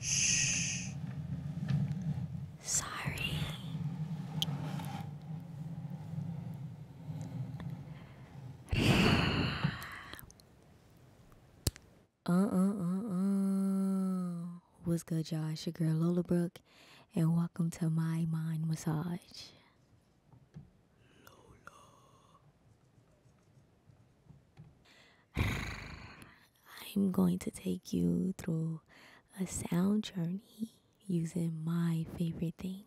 Shh. Sorry. Uh, uh, uh, uh. What's good, y'all? It's your girl Lola Brook, and welcome to my mind massage. I'm going to take you through a sound journey using my favorite things.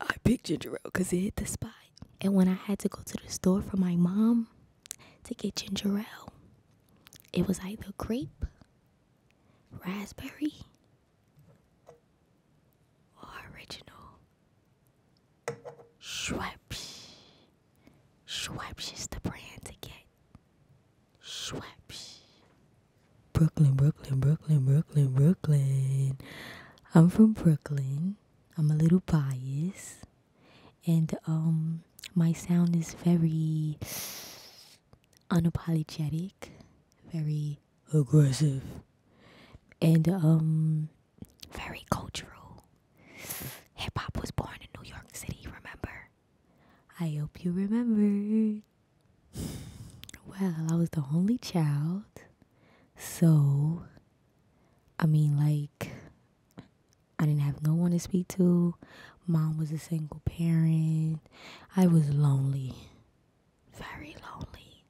I picked ginger ale it hit the spot. And when I had to go to the store for my mom to get ginger ale, it was either grape, raspberry, Original. Schweppes. Schweppes is the brand to get. Schweppes. Brooklyn, Brooklyn, Brooklyn, Brooklyn, Brooklyn. I'm from Brooklyn. I'm a little biased. And um my sound is very unapologetic, very aggressive, and um, very cultural. Hip hop was born in New York City, remember? I hope you remember. Well, I was the only child, so I mean, like, I didn't have no one to speak to. Mom was a single parent I was lonely. Very lonely.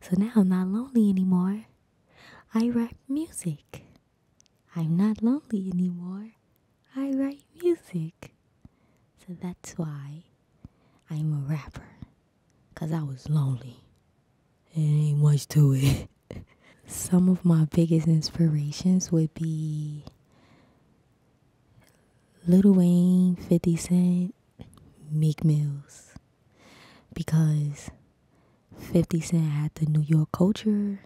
So now I'm not lonely anymore. I write music. I'm not lonely anymore. I write music. So that's why I'm a rapper. Because I was lonely. It ain't much to it. Some of my biggest inspirations would be Little Wayne, 50 Cent, Meek Mills. Because 50 Cent had the New York culture.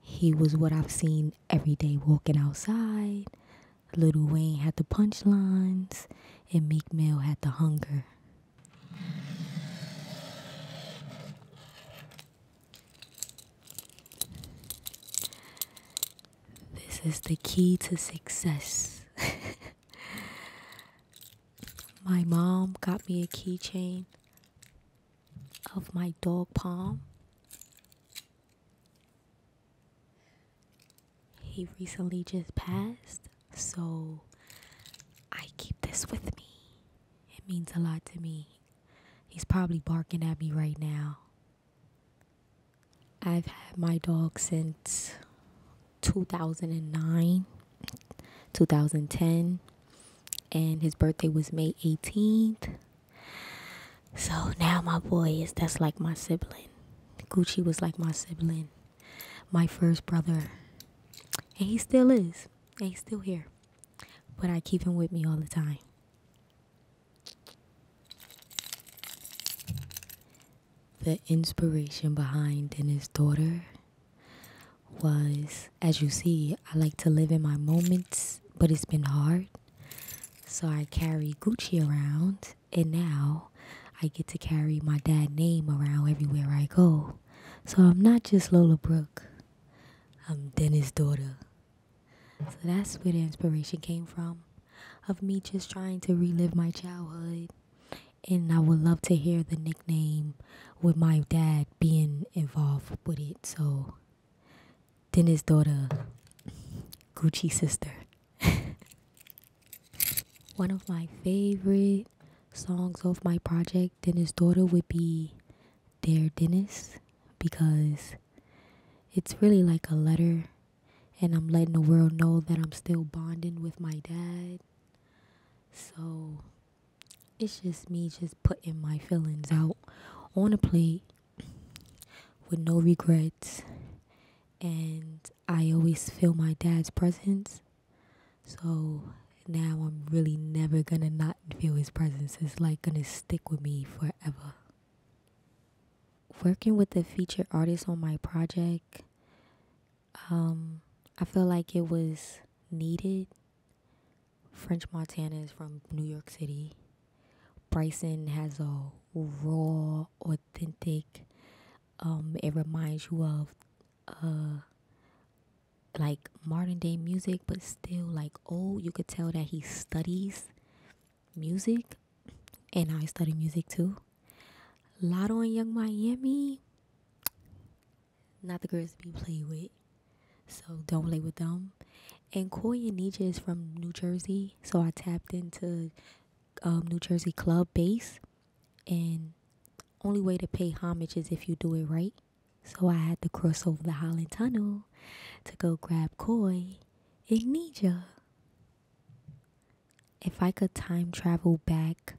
He was what I've seen every day walking outside. Little Wayne had the punchlines, and Meek Mill had the hunger. This is the key to success. my mom got me a keychain of my dog Palm. He recently just passed, so I keep this with me. It means a lot to me. He's probably barking at me right now. I've had my dog since 2009, 2010, and his birthday was May 18th. So now my boy is that's like my sibling. Gucci was like my sibling, my first brother. And he still is. And he's still here. But I keep him with me all the time. The inspiration behind Dennis' daughter was, as you see, I like to live in my moments, but it's been hard. So I carry Gucci around, and now I get to carry my dad's name around everywhere I go. So I'm not just Lola Brook. I'm Dennis' daughter. So that's where the inspiration came from of me just trying to relive my childhood. And I would love to hear the nickname with my dad being involved with it. So, Dennis' daughter, Gucci sister. One of my favorite songs off my project, Dennis' daughter, would be Dear Dennis because it's really like a letter and I'm letting the world know that I'm still bonding with my dad. So it's just me just putting my feelings out on a plate with no regrets. And I always feel my dad's presence. So now I'm really never gonna not feel his presence. It's like gonna stick with me forever. Working with the featured artist on my project, um, I feel like it was needed. French Montana is from New York City. Bryson has a raw, authentic, um, it reminds you of uh, like modern day music, but still like old. Oh, you could tell that he studies music, and I study music too. Lot and Young Miami, not the girls to be played with, so don't play with them. And Koi and Nija is from New Jersey, so I tapped into um, New Jersey club base, and only way to pay homage is if you do it right. So I had to cross over the Holland Tunnel to go grab Koi in Nija. If I could time travel back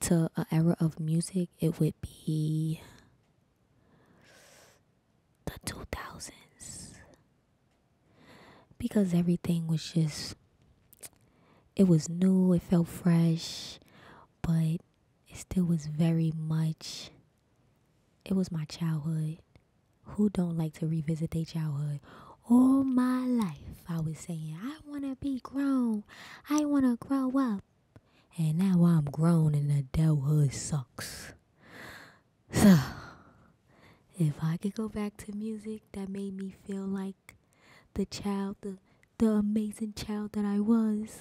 to an era of music, it would be the 2000s. Because everything was just, it was new, it felt fresh, but it still was very much it was my childhood. Who don't like to revisit their childhood? All my life I was saying, I wanna be grown. I wanna grow up. And now I'm grown and adulthood sucks. So if I could go back to music that made me feel like the child, the amazing child that I was,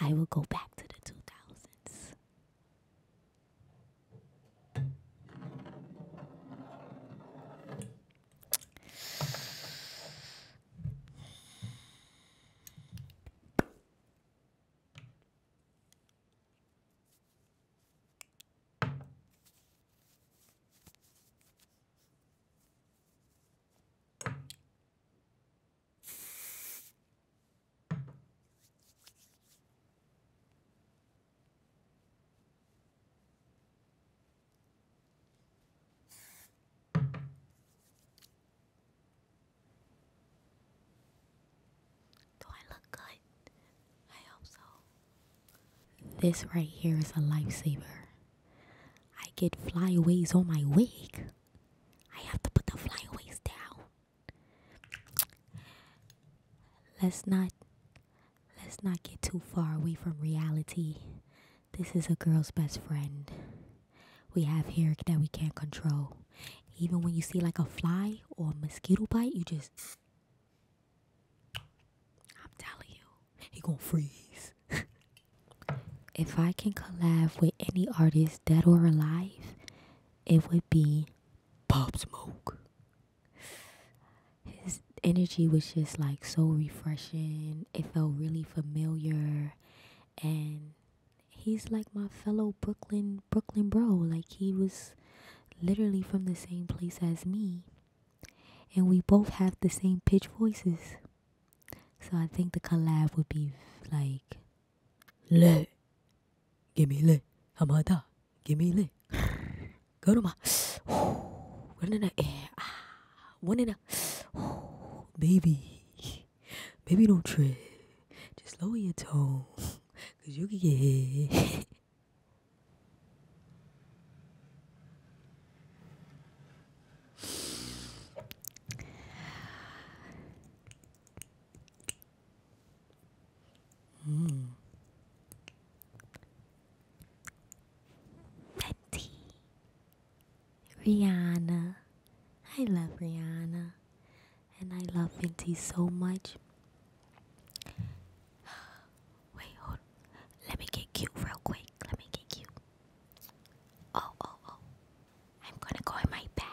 I will go back to the 2000s. Do I look good? I hope so. This right here is a lifesaver. I get flyaways on my wig. I have to put the flyaways down. Let's not let's not get too far away from reality. This is a girl's best friend. We have hair that we can't control. Even when you see like a fly or a mosquito bite, you just I'm telling you, he gonna freeze. If I can collab with any artist, dead or alive, it would be Pop Smoke. His energy was just like so refreshing. It felt really familiar. And he's like my fellow Brooklyn, Brooklyn bro. Like he was literally from the same place as me. And we both have the same pitch voices. So I think the collab would be like Le Gimme Le Hamada Gimme Le Go to my Run in the air One in the eh, ah, Baby Baby no not Just lower your tone Cause you can get hit Mm. Betty. Rihanna. I love Rihanna. And I love Fenty so much. Wait, hold. Let me get cute real quick. Let me get cute. Oh, oh, oh. I'm gonna go in my bag.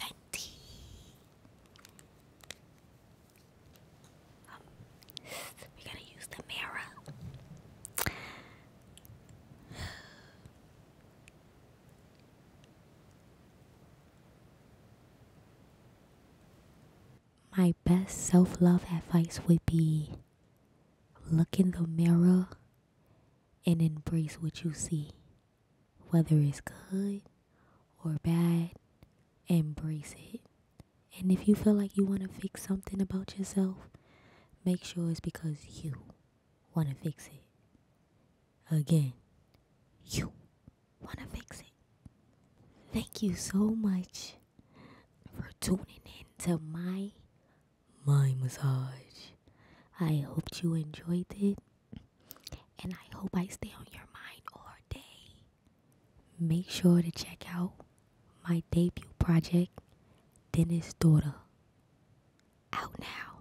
Fenty. Um, we're gonna use the mirror. My best self love advice would be look in the mirror and embrace what you see. Whether it's good or bad, embrace it. And if you feel like you want to fix something about yourself, make sure it's because you want to fix it. Again, you want to fix it. Thank you so much for tuning in to my my massage. I hope you enjoyed it and I hope I stay on your mind all day. Make sure to check out my debut project, Dennis Daughter. Out now.